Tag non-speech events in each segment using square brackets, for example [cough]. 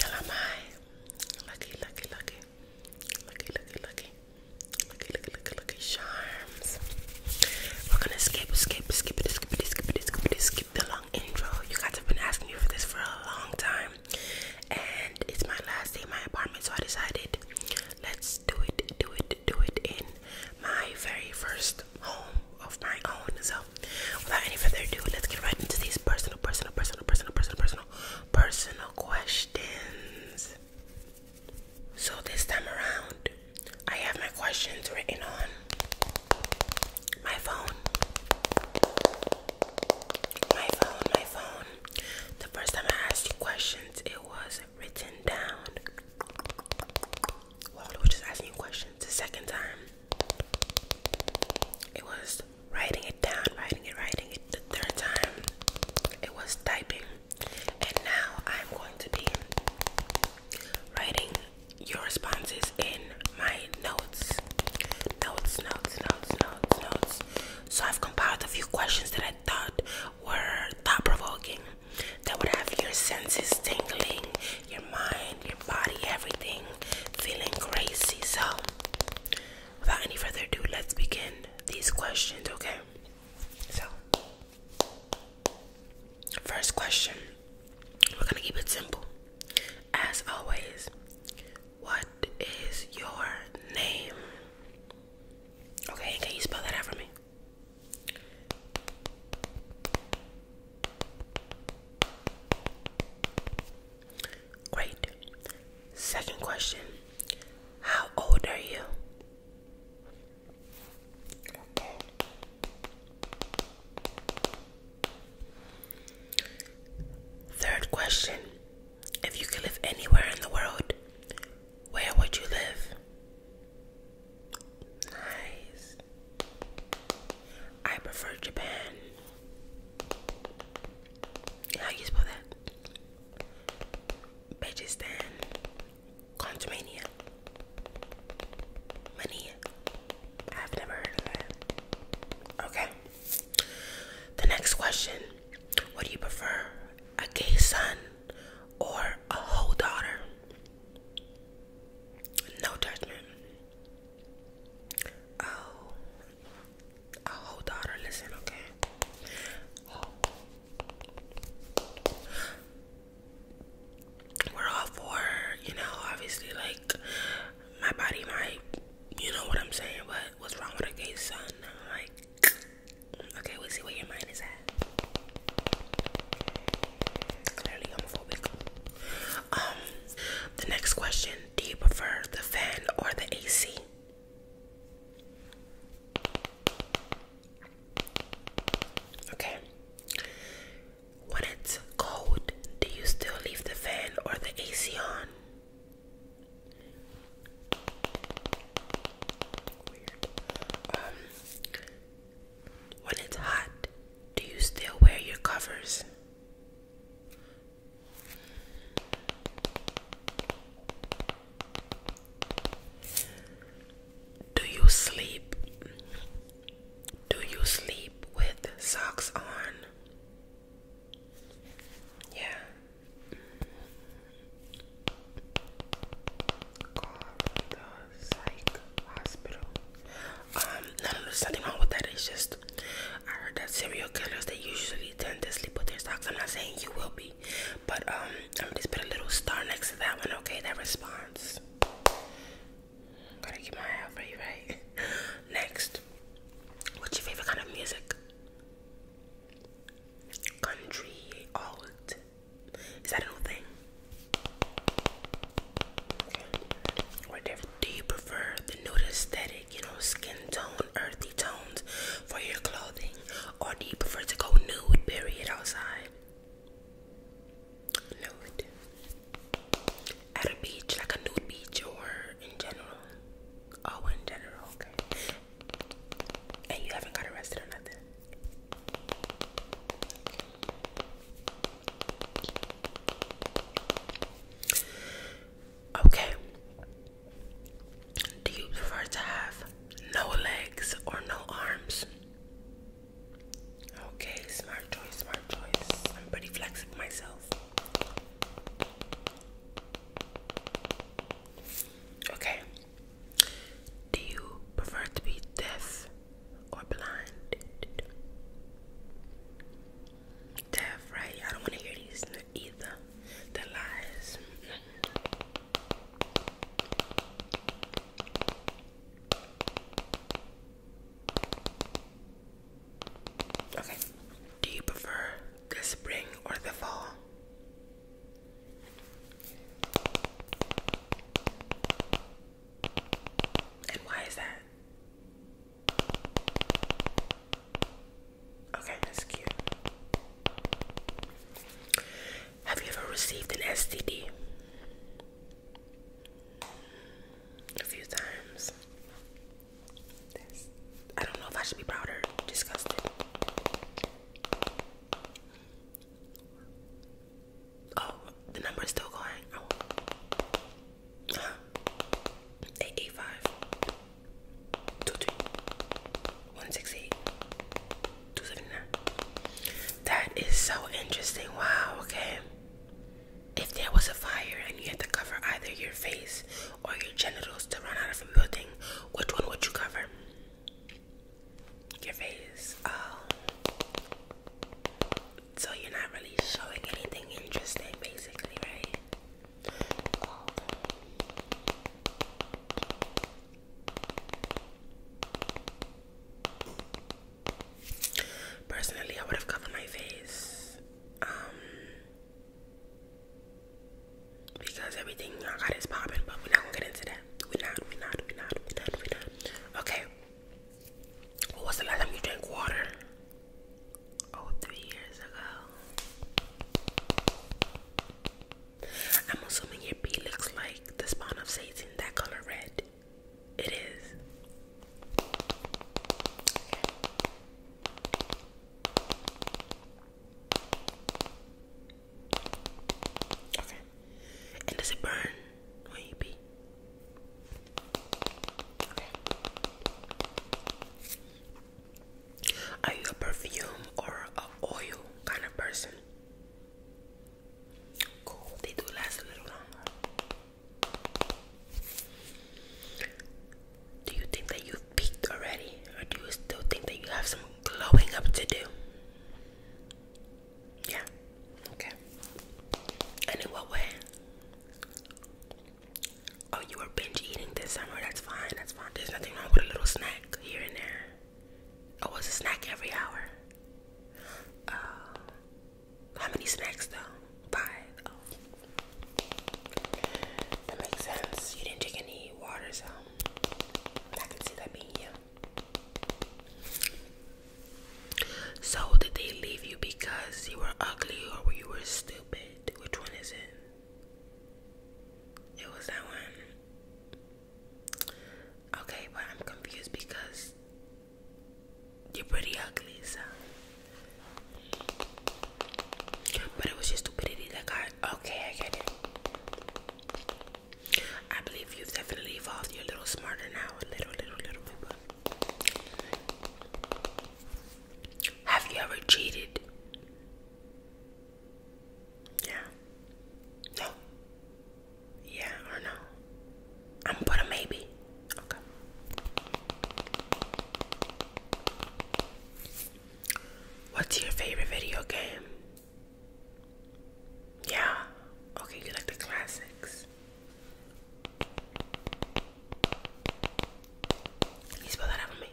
Hello, my lucky, lucky, lucky, lucky, lucky, lucky, lucky charms. We're gonna skip, skip, skip it, skip it, skip it, skip it, skip the long intro. You guys have been asking me for this for a long time, and it's my last day in my apartment, so I decided let's do it, do it, do it in my very first home of my own. So, without any further ado, let's get right into these personal, personal, personal, personal, personal, personal, personal questions. So, this time around, I have my questions written on my phone. My phone, my phone. The first time I asked you questions, it was written down. Waldo was just asking questions the second time. It was writing it down, writing it, writing it. The third time, it was typing. And now I'm going to be writing your responses in my notes. Notes, notes, notes, notes, notes. So I've compiled a few questions that I thought were thought provoking, that would have your senses tingling, your mind, your body, everything feeling crazy. So, without any further ado, let's begin these questions, okay? So, first question we're gonna keep it simple. As always, what is your name? Okay, can you spell that out for me? Great. Second question How old are you? Third question If you could live anywhere in the world, where would you live? Nice. I prefer Japan. How you spell that? Bajistan. Contumania. Mania. I've never heard of that. Okay. The next question What do you prefer? A gay son or a whole daughter. No judgment. Oh, a whole daughter. Listen, okay. We're all for, you know, obviously, like my body might, you know what I'm saying. But what's wrong with a gay son? Like Okay, we see where your mind is at. Clearly homophobic. Um, the next question, do you prefer the fan or the AC? Okay. When it's cold, do you still leave the fan or the AC on? Um, when it's hot, do you still wear your covers? Do you sleep? Do you sleep with socks on? Yeah called the psych hospital. Um, no, no, there's nothing wrong with that. It's just I heard that serial killers they usually tend to sleep with their socks. I'm not saying you will be, but um, I'm just put a little star next to that one. Okay, that response. Gotta keep my eye out for you, right? [laughs] Next, what's your favorite kind of music? Country, alt, is that a new thing? do you prefer the nude aesthetic, you know, skin tone, earthy tones for your clothing? Or do you prefer to go nude, period, outside? Nude. At a beach, like a nude beach or in general? Oh, in general, okay. And you haven't got arrested or nothing. Okay. Do you prefer to have no legs or no arms? Okay, smart choice, smart choice. I'm pretty flexible myself. Okay, do you prefer to be deaf or blind? Deaf, right? I don't want to hear these either. The lies. Okay. Do you prefer the spring or the fall? And why is that? Okay, that's cute. Have you ever received an STD? A few times. That's, I don't know if I should be proud or disgusted. Oh, the number is still going. Oh. Uh That is so interesting. Wow, okay. If there was a fire and you had to cover either your face or your genitals to run out of a building, which one would you cover? your face. Oh. So you're not really showing anything interesting, basically, right? Personally, I would have covered my face. Um, because everything I got is popping, but we're not gonna get into that. We're not, we're not, we're not, we're not, we're not. Okay. What was the last time you drank water? Oh, three years ago. I'm assuming your pee looks like the spawn of Satan, that color red. It is. Okay. And does it burn when Okay. Are you a perfume or a oil kind of person? Cool. They do last a little longer. Do you think that you've peaked already, or do you still think that you have some glowing up to do? Yeah. Okay. And in what way? Oh, you were binge eating this summer. That's fine. That's fine. There's nothing wrong with a little snack here and there. Oh, was a snack every hour. Uh, how many snacks though? Five. Oh. That makes sense. You didn't drink any water, so I can see that being you. So did they leave you because you were ugly or you were stupid? Which one is it? It was that one. Okay, but I'm confused because you're pretty ugly, so. But it was your stupidity that got. Okay, I get it. I believe you've definitely evolved. You're a little smarter now, a little, little, little bit. But... Have you ever cheated? Yeah. No. Yeah or no? I'm gonna put a maybe. Okay. What's your favorite video game? Yeah. Okay, you like the classics. you spell that out for me?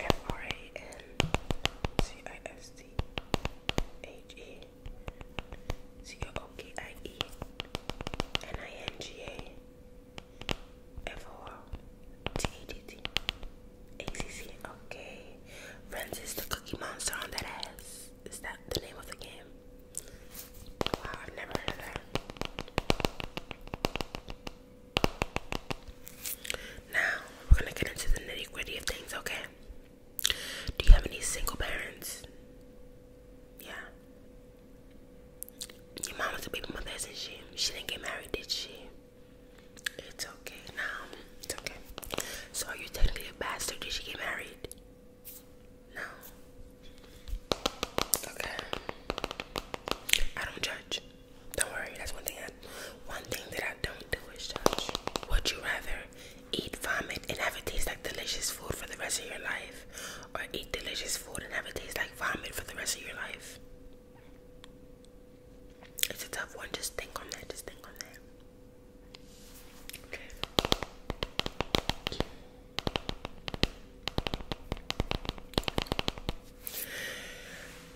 F R A N C I S T H E C O K I E N I N G A F O R T E D T ACC, okay. Friends is the Cookie Monster on that ass. Is that the name of the game? Wow, I've never heard of that. Now, we're gonna get into the nitty gritty of things, okay? Do you have any single parents? Yeah. Your mom was a baby mother, isn't she? She didn't get married, did she? It's okay now. It's okay. So are you technically a bastard? Did she get married? No. Okay. I don't judge. Don't worry. That's one thing. one thing that I don't do is judge. Would you rather eat vomit and have it taste like delicious food for the rest of your life, or eat delicious food and have it taste like vomit for the rest of your life? It's a tough one. Just think on that. Just think on that.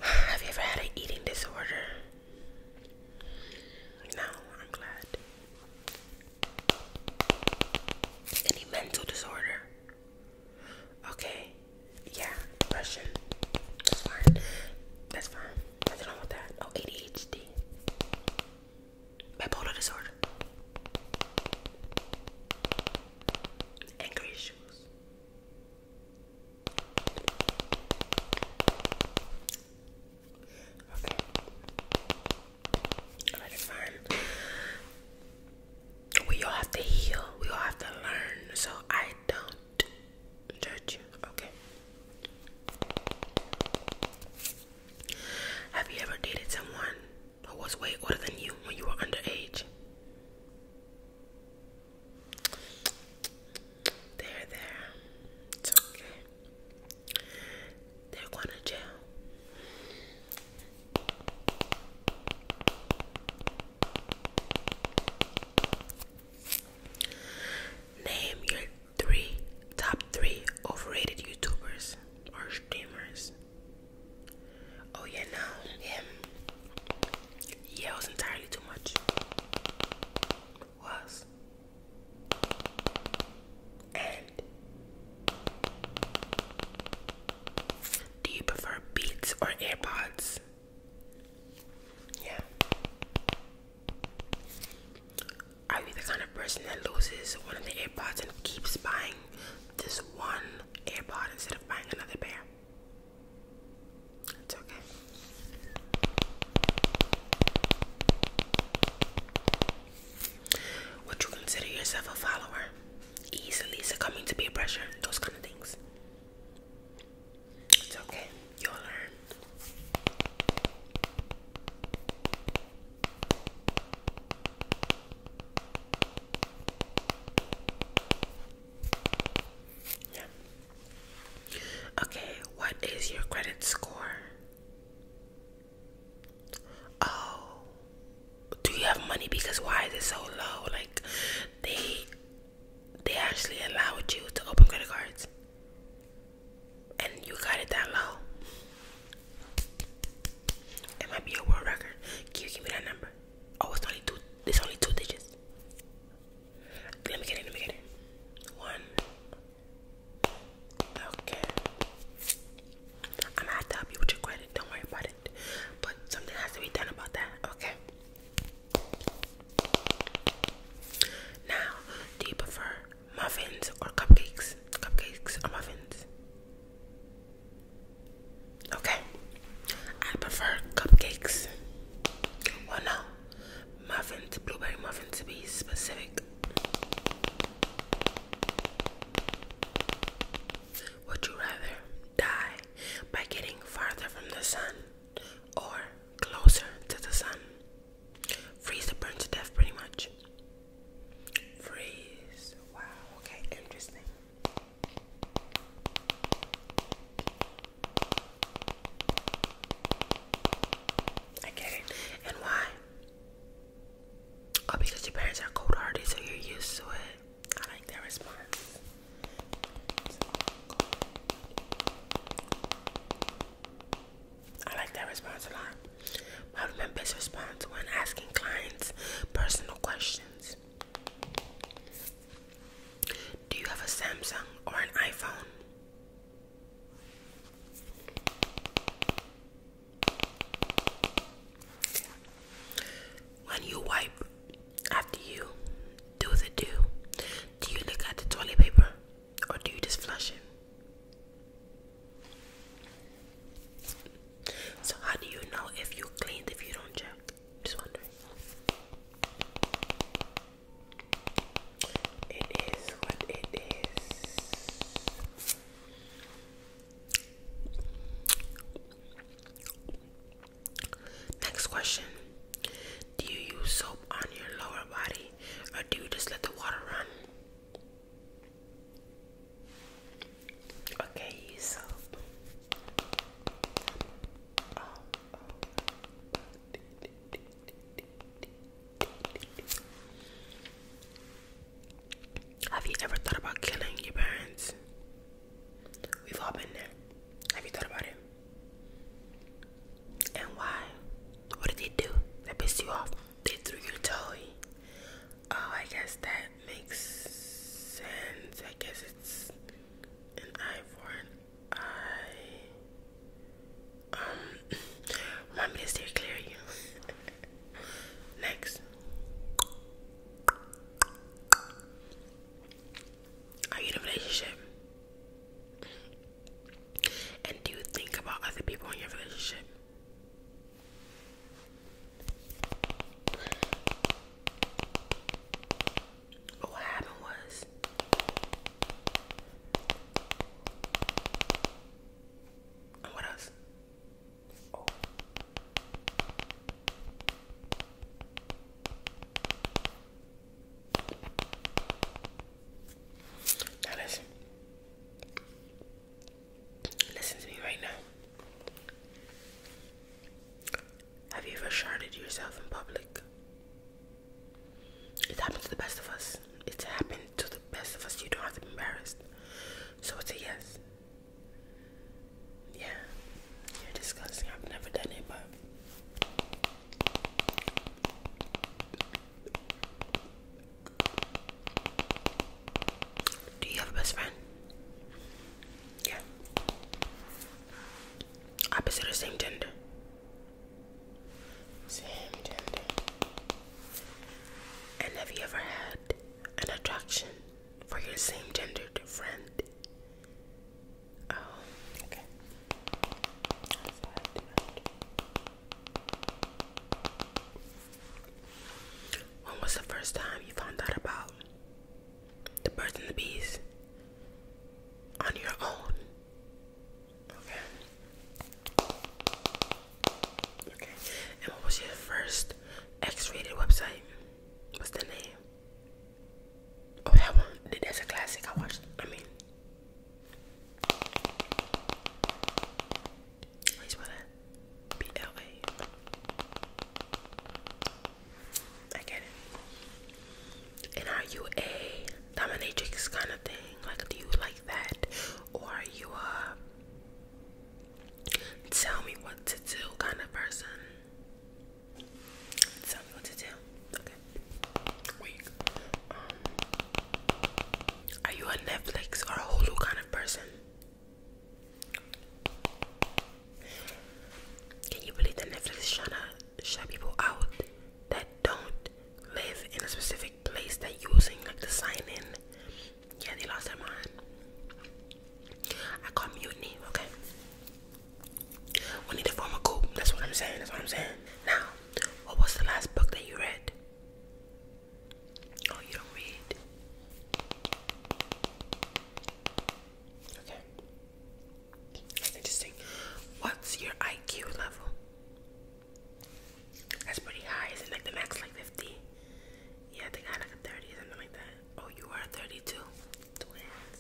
Have you ever had an eating disorder? No, I'm glad. Any mental disorder? Okay. Yeah, depression. That's fine. That's fine. Nothing wrong with that. Oh, ADHD. Bipolar disorder. Angry issues. Okay. Alright, fine. We all have to heal. We all have to learn. So I don't judge Okay. Have you ever dated someone who was way older than you when you were underage? There, there. It's okay. They're going to jail. Name your three top three overrated YouTubers or streamers. Oh yeah, no, him. Yeah, was entirely too much. Was and do you prefer Beats or AirPods? Yeah. Are you the kind of person that loses one of the AirPods and keeps buying this one AirPod instead of buying another pair? It's okay. Would you consider yourself a follower? Easily succumbing to peer pressure, those kind of things. It's okay. You'll learn. Yeah. Okay, what is your credit score? Oh, do you have money? Because why is it so low? Like, they they actually allowed you to open credit cards and you got it that low. It might be a world record. Can you give me that number? Oh, it's only two. It's only two digits. Let me get it. Let me get it. One. Okay. I'm gonna have to help you with your credit. Don't worry about it. But something has to be done about that. Okay. Now, do you prefer muffins or cupcakes? Cupcakes or muffins? Okay, I prefer cupcakes. Well, no, muffins, blueberry muffins to be specific. Would you rather die by getting farther from the sun or closer to the sun. Freeze or burn to death, pretty much. Freeze. Wow, okay, interesting. I get it. And why? Oh, because your parents are cold hearted, so you're used to it. I like that response. I like that response a lot. I remember this response when asking clients personal questions. Do you have a Samsung or an iPhone? When you wipe after you do the do, do you look at the toilet paper or do you just flush it? So, how do you know if you cleaned if you don't check? Just wondering. It is what it is. Next question do you use soap on your lower body or do you just let the water run? Okay, use soap. Have you ever thought about killing your parents? We've all been there. Have you thought about it? And why? What did they do? They pissed you off. They threw your toy. Oh, I guess that makes sense. I guess it's an eye for an eye. Um, remind [laughs] me to steer clear of you. [laughs] Next. Are you in a relationship? And do you think about other people in your relationship? what happened was what else? Oh. Now listen. Listen to me right now. Have you ever sharded yourself in public? It happened to the best of us. It's happened to the best of us. You don't have to be embarrassed. So it's a yes. Yeah. you disgusting. I've never done it, but do you have a best friend? Yeah. Opposite or same gender? Same gender. And have you ever had an attraction for your same gendered friend? Oh, when was the first time you found out about the birds and the bees? On your own. Okay. Okay. And what was your first X-rated website? What's the name? Oh, that one. That's a classic. I watched. I mean, I spell it B L A. I get it. And are you a dominatrix kind of thing? Like, do you like that, or are you a tell me what to do kind of person? Tell me what to do. Um, are you a Netflix or a Hulu kind of person? Can you believe that Netflix is trying to shut people out that don't live in a specific place that using like the sign in? Yeah, they lost their mind. I call mutiny, okay? We need to form a group. That's what I'm saying. That's what I'm saying. Now, what was the last book that you read? Oh, you don't read. Okay. interesting. What's your IQ level? That's pretty high. Isn't like the max like 50? Yeah, I think I had like a 30 or something like that. Oh, you are 32. Twins.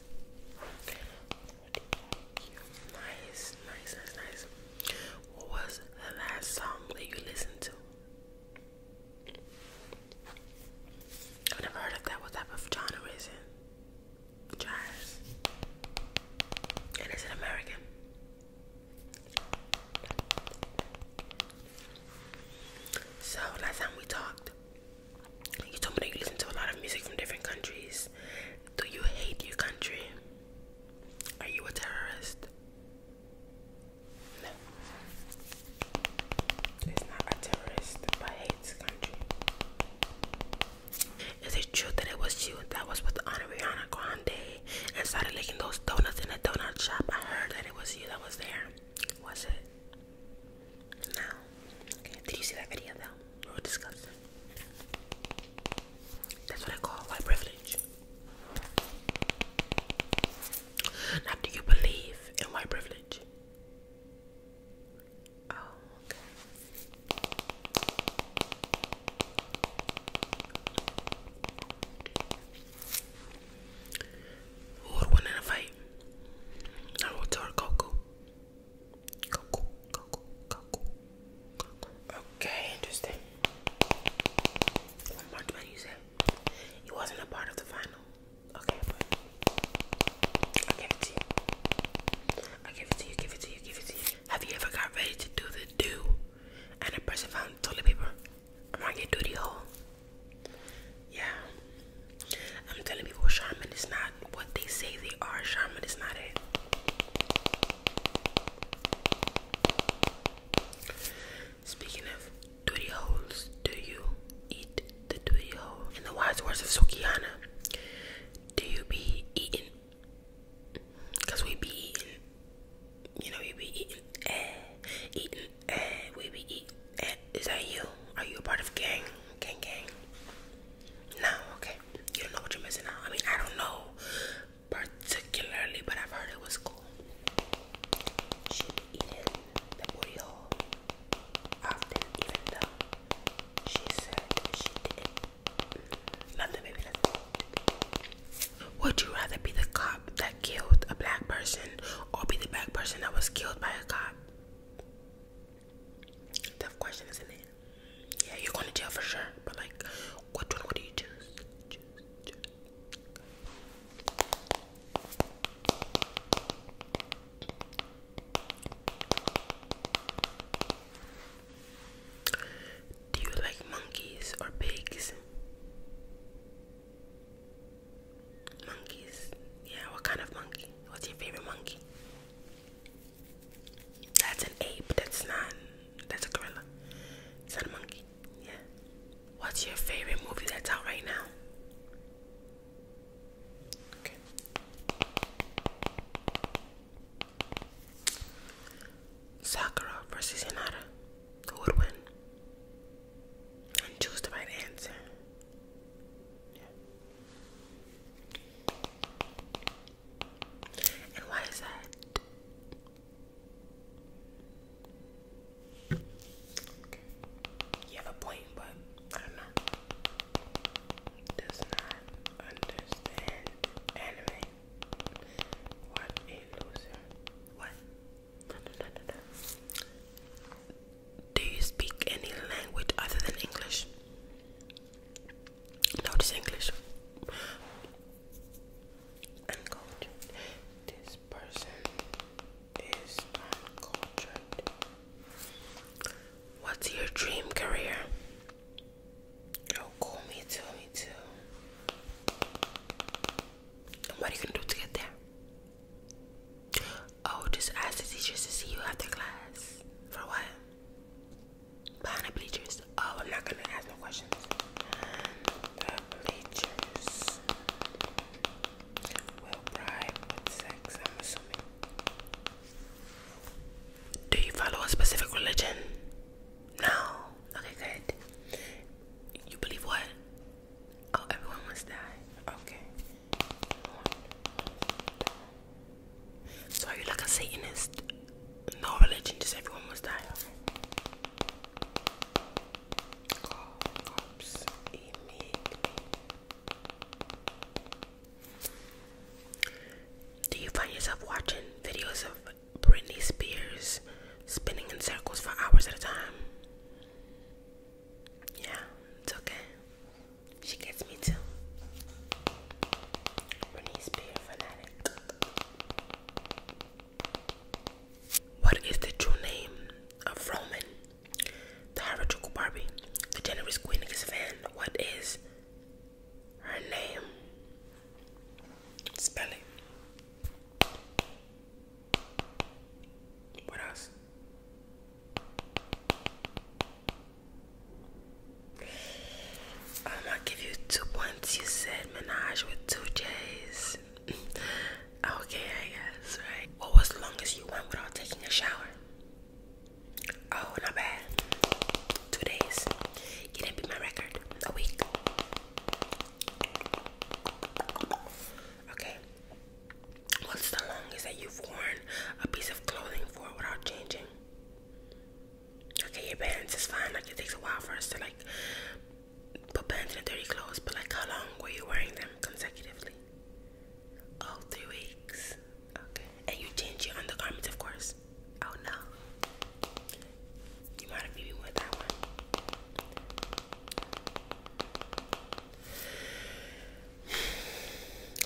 Nice, nice, nice, nice. What was the last song that you listened to? I've never heard of that. What type of genre is it? Jazz. And is it American? So last time we talked, you told me that you listen to a lot of music from different countries. Do you hate your country? Are you a terrorist? No. It's not a terrorist but hates country. Is it true that it was you that was with Ariana Grande and started licking those donuts in the donut shop? I heard that it was you that was there. Was it? No. Did you see that video though? We that's what I call white privilege. Now, do you believe in white privilege? Oh, Who would win in a fight? I would tell Goku. Okay, interesting. One more twenty, you said. It wasn't a part of the final. Okay, I give it to you. I give it to you, give it to you, give it to you. Have you ever got ready to do the do and a person found toilet paper around your duty hole? Yeah. I'm telling people, Charmin is not what they say they are. Charmin is not it. Speaking of duty holes, do you eat the duty hole? In the wise words of Sukiana, do you be eating? Cause we be eating, you know, we be eating, eating, we be eating. Is that you? Are you a part of gang, gang, gang? No, okay. You don't know what you're missing out. I mean, I don't know particularly, but I've heard it was cool. would Would you rather be the cop that killed a black person or be the black person that was killed by a cop? Tough question, isn't it? Yeah, you're going to jail for sure. But like, what one would you choose. Do you like monkeys or pigs? Monkeys. Yeah, what kind of monkey? What's your favorite monkey? That's an ape. That's not. That's a gorilla. It's not a monkey. Yeah. What's your favorite movie that's out right now? Sakura versus Hinata. Who would win? choose the right answer. Yeah. And that? You have a point, but I don't Does not understand anime. What a loser. What? no, no, no, no. Do you speak any language other than English? Notice English. Uncultured. This person is uncultured. What's your dream career? Oh, call me too, too. And what are you gonna do to get there? Oh, just ask the teachers to see you after class. For what? Behind bleachers. Oh, I'm not gonna ask no questions. bleachers will bribe sex, I'm assuming. Do you follow a specific religion? No. Okay, good. You believe what? Oh, everyone must die. Okay. So are you like a Satanist? No religion, just everyone was dying. Cops immediately. Do you find yourself watching videos of Britney Spears spinning in circles for hours at a time? Yeah, it's okay. She gets me too. Britney Spears for what is the true name of Roman, the hierarchical Barbie, the generous queen of his fan? What is her name? Spell it. What else? I'm gonna give you two points. You said menage with two J's. [laughs] okay, I guess, right? What was the longest you went without taking a shower? Oh, not bad. Two days. It didn't beat my record. A week. Okay. What's the longest that you've worn a piece of clothing for without changing? Okay, your pants is fine. Like it takes a while for us to like put pants in dirty clothes, but like how long were you wearing them consecutively? Oh, three weeks. Okay. And you change your undergarments, of course. Oh no. You might have beat with that one.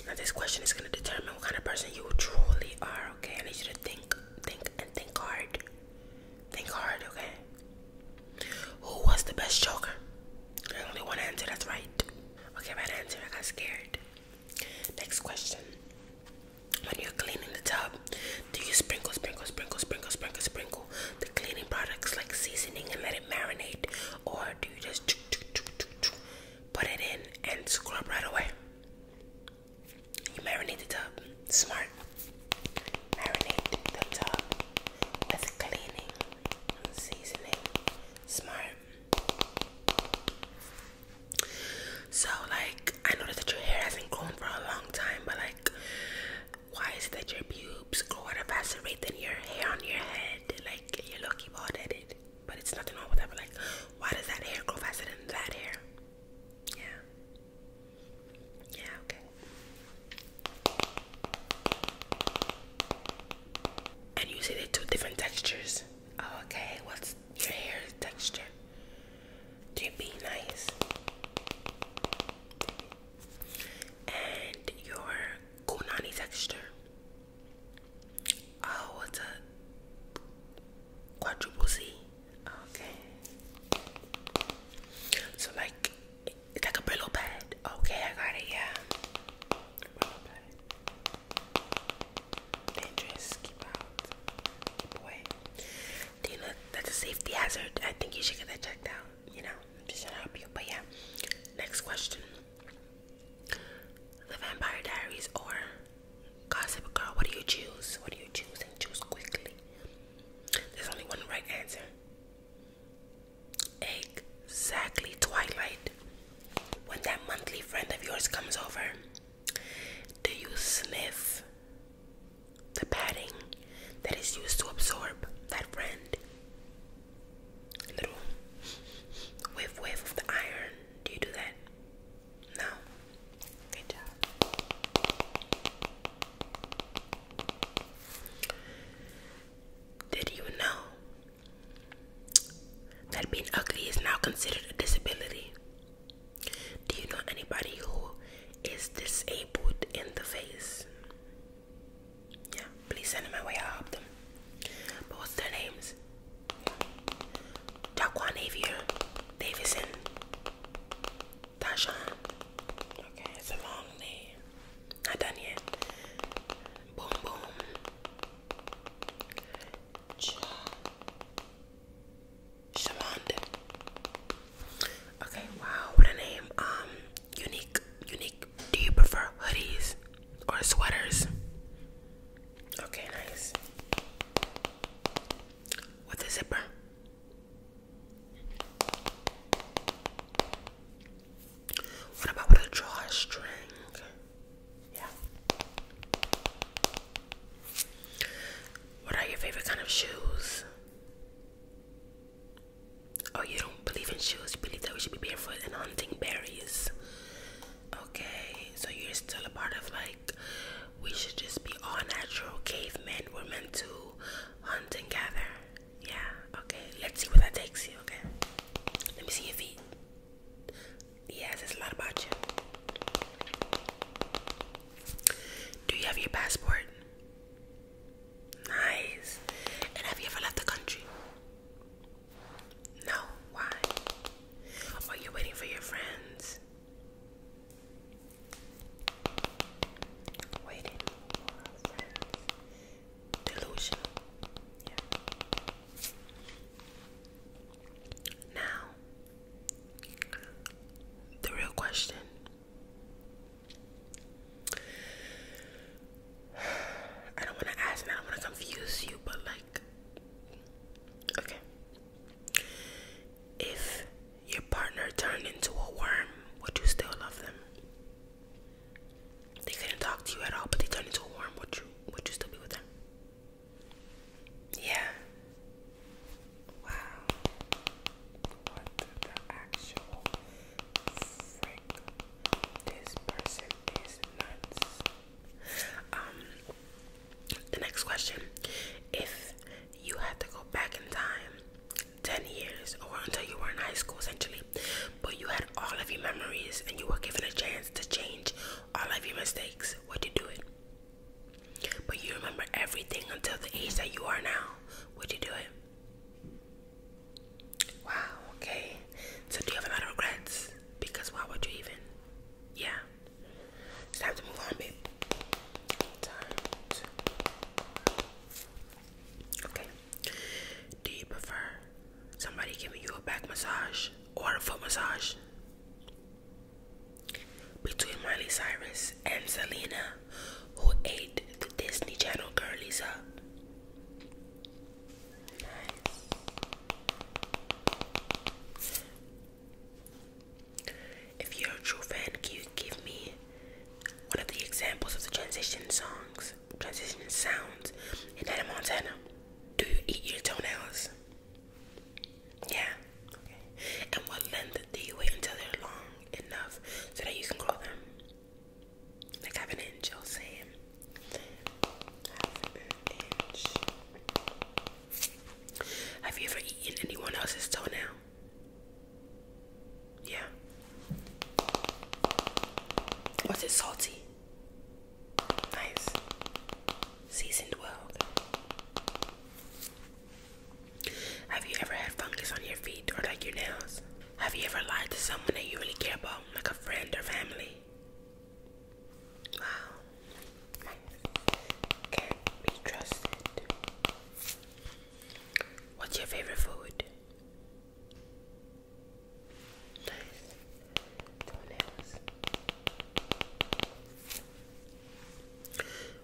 Now this question is gonna determine what kind of person you truly are, okay? I need you to think think, think, and think hard. Think hard, okay? Who was the best joker? There's only one answer that's right. Okay, right answer. I got scared. Next question. When you're cleaning the tub, do you sprinkle, sprinkle, sprinkle, sprinkle, sprinkle, sprinkle the cleaning products like seasoning and let it marinate? Or do you just put it in and scrub right away? You marinate the tub. Smart. Marinate the tub with cleaning and seasoning. Smart. So, like, I noticed that your hair hasn't grown for a long time, but like, why is it that your pubes grow at a faster rate than your hair on your head? Like, you're lucky bald it, but it's nothing wrong with that. But like, why does that hair grow faster than that hair? Yeah. Yeah, okay. And you see the two different textures. Oh, okay, what's your hair texture? Do be nice? And your kunani texture. Oh, ah, what's a quadruple C. Okay. So like it's like a Brillo pad. Okay, I got it. Yeah. Dangerous. Keep out. Keep away. Do that's a safety hazard? I think you should get that checked out. You know, just to help you. But yeah. Next question. The Vampire Diaries or Gossip Girl, what do you choose? What do you choose? And choose quickly. There's only one right answer. Exactly, Twilight. When that monthly friend of yours comes over, do you sniff the padding that is used to absorb that friend? little whiff whiff of the iron. Do you do that? No. Good job. Did you know that being ugly is now considered a disability? Do you know anybody who is disabled in the face? Yeah, please send them my way. i help them. what's their names? Jaquan Davison, Tashawn. Okay, it's a long name. Not done yet. Boom, boom. Ch Shamond. Okay, wow, what a name. Um, unique, unique. Do you prefer hoodies or sweaters? Okay, nice with a zipper. What about with a drawstring? Yeah. What are your favorite kind of shoes? Oh, you don't believe in shoes. You believe that we should be barefoot and hunting berries. Okay, so you're still a part of like, we should just be all natural cavemen. We're meant to hunt and gather. Yeah, okay. Let's see what that takes you, okay? Let me see your feet. Yes, says a lot about you. Do you have your passport? Nice. And have you ever left the country? No. Why? Are you waiting for your friends? Waiting for friends. Delusional. Yeah. Now, the real question. [sighs] I don't want to ask and I don't want to confuse you, but like, okay. If your partner turned into a worm, would you still love them? They couldn't talk to you at all, but they turned into a worm. Would you would you still be with them? Yeah. Wow. What the actual frick? This person is nuts. Um the next question If you had to go back in time 10 years or until you were in high school essentially, but you had all of your memories and you were given a chance to change all of your mistakes, would you do it? But you remember everything until the age that you are now, would you do it? Wow, okay. So, do you have a lot of regrets? Because why would you even? Yeah. It's time to move on, babe. Do you prefer somebody giving you a back massage or a foot massage? Between Miley Cyrus and Selena, who ate the Disney Channel girlies up. If you're a true fan, can you give me one of the examples of the transition songs, transition sounds in Hannah Montana? Do you eat your toenails? Yeah. Okay. And what length do you wait until they're long enough so that you can grow them? Like half an inch, I'll say. Half an have you ever eaten anyone else's toenail? Yeah. Was it salty? Nice. Seasoned well. Have you ever had fungus on your feet or like your nails? Have you ever lied to someone that you really care about, like a friend or family? Wow nice. Can be trusted. What's your favorite food?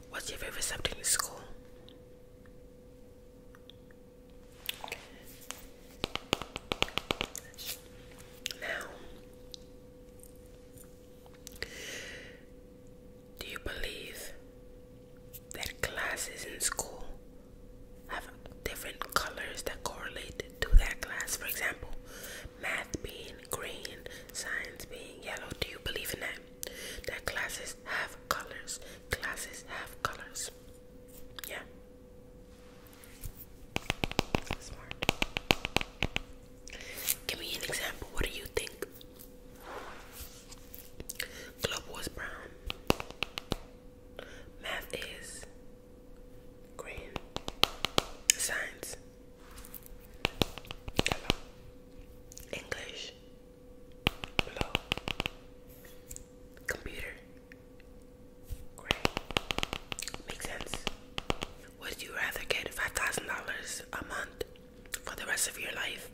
What's your favorite subject in school? Now, do you believe that classes in school have different colors that correlate to that class? For example, math being green, science being yellow. Do you believe in that? That classes have colors. Classes have colors. Yeah. Give me an example. What do you think? Club was brown. Math is green. Science. Hello. English. Blue. Computer. Gray. Make sense. Would you rather get $5,000 a month for the rest of your life,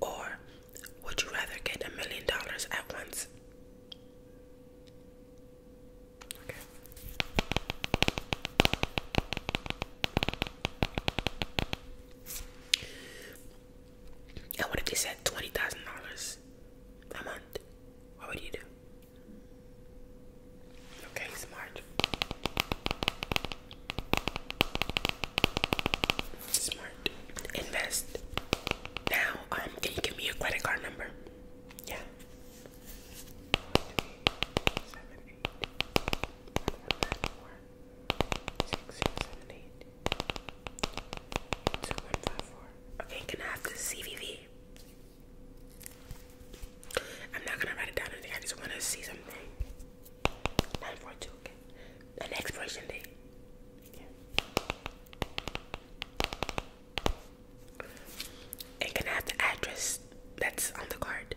or would you rather get a million dollars at once? And what if they said $20,000 a month? What would you do? Okay, smart. Smart. Invest. Now, um, can you give me your credit card number? Yeah. Seven, eight, one, nine, four, six, six, seven, eight, two, one, five, four. Okay, can I have the CVV? I'm not gonna write it down anything. I just wanna see something. 942, okay. An expiration date. Yeah. can have the address that's on the card?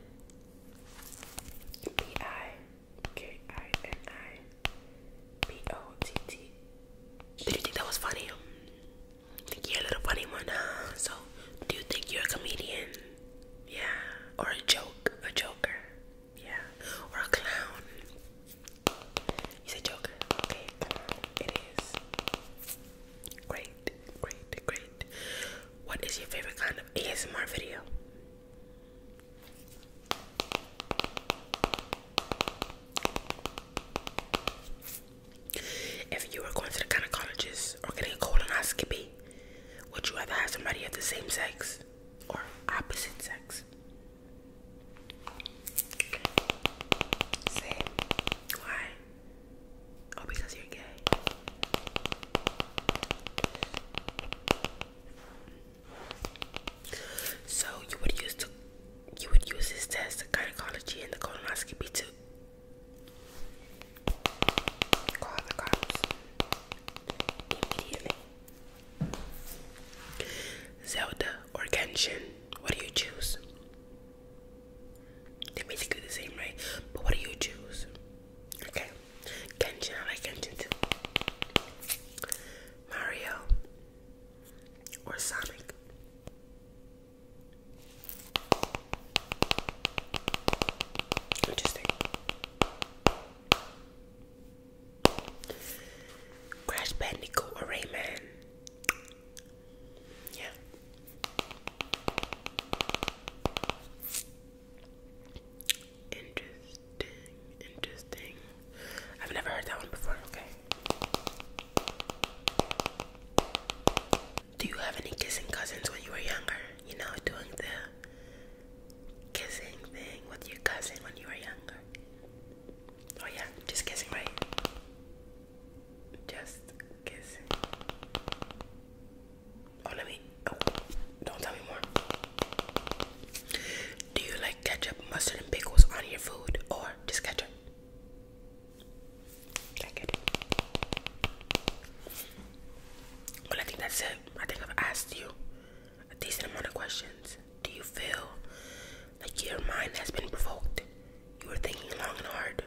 B I K I N I B O T T. Did you think that was funny? I little funny one, So, do you think you're a comedian? Yeah. Or a joke. A joker. Yeah. Or a clown. You say joker. Okay, It is. Great. Great. Great. What is your favorite kind of ASMR video? If you were going to the gynecologist or getting a colonoscopy, would you rather have somebody of the same sex or opposite sex? Okay. Why? Oh, because you're gay. So you would use the you would use this test, the gynecology and the colonoscopy to Zelda or Genshin, what do you choose? They're basically the same, right? But what do you choose? Okay, Genshin, I like Genshin too. Mario or Sonic? Interesting. Crash Bandicoot or Yeah. Interesting, interesting. I've never heard that one before, okay. Do you have any kissing cousins when you were younger? You know, doing the kissing thing with your cousin when you were younger. Oh yeah, just kissing, right? Just kissing. Oh, let me. Oh, don't tell me more. Do you like ketchup, mustard, and pickles on your food, or just ketchup? I it. Well, I think that's it. I think I've asked you a decent amount of questions. Do you feel like your mind has been provoked? You were thinking long and hard.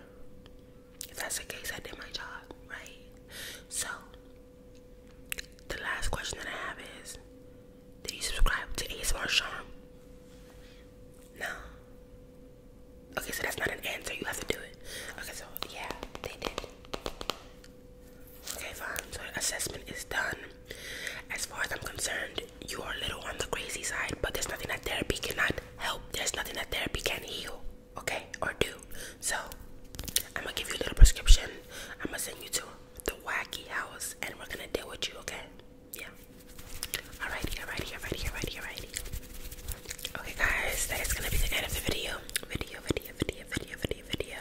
If that's the case, I did my job, right? So, the last question that I have is Did you subscribe to Ace ASMR Charm? No. Okay, so that's not an answer. You have to do it. Okay, so yeah, they did. Okay, fine. So assessment is done. As far as I'm concerned, you are a little on the crazy side, but there's nothing that therapy cannot help. There's nothing that therapy can not heal, okay, or do. So I'm gonna give you a little prescription. I'm gonna send you to the wacky house, and we're gonna deal with you, okay? Yeah. Alrighty, alrighty, alrighty, alrighty, alrighty. Okay, guys, that is gonna be the end of the video. Video, video, video, video, video, video.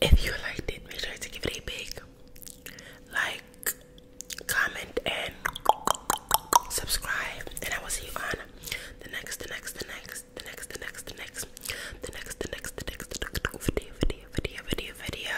If you liked it, make sure to give it a big like, comment, and subscribe. And I will see you on the next, the next, the next, the next, the next, the next, the next, the next, the next, the next video, video, video, video, video.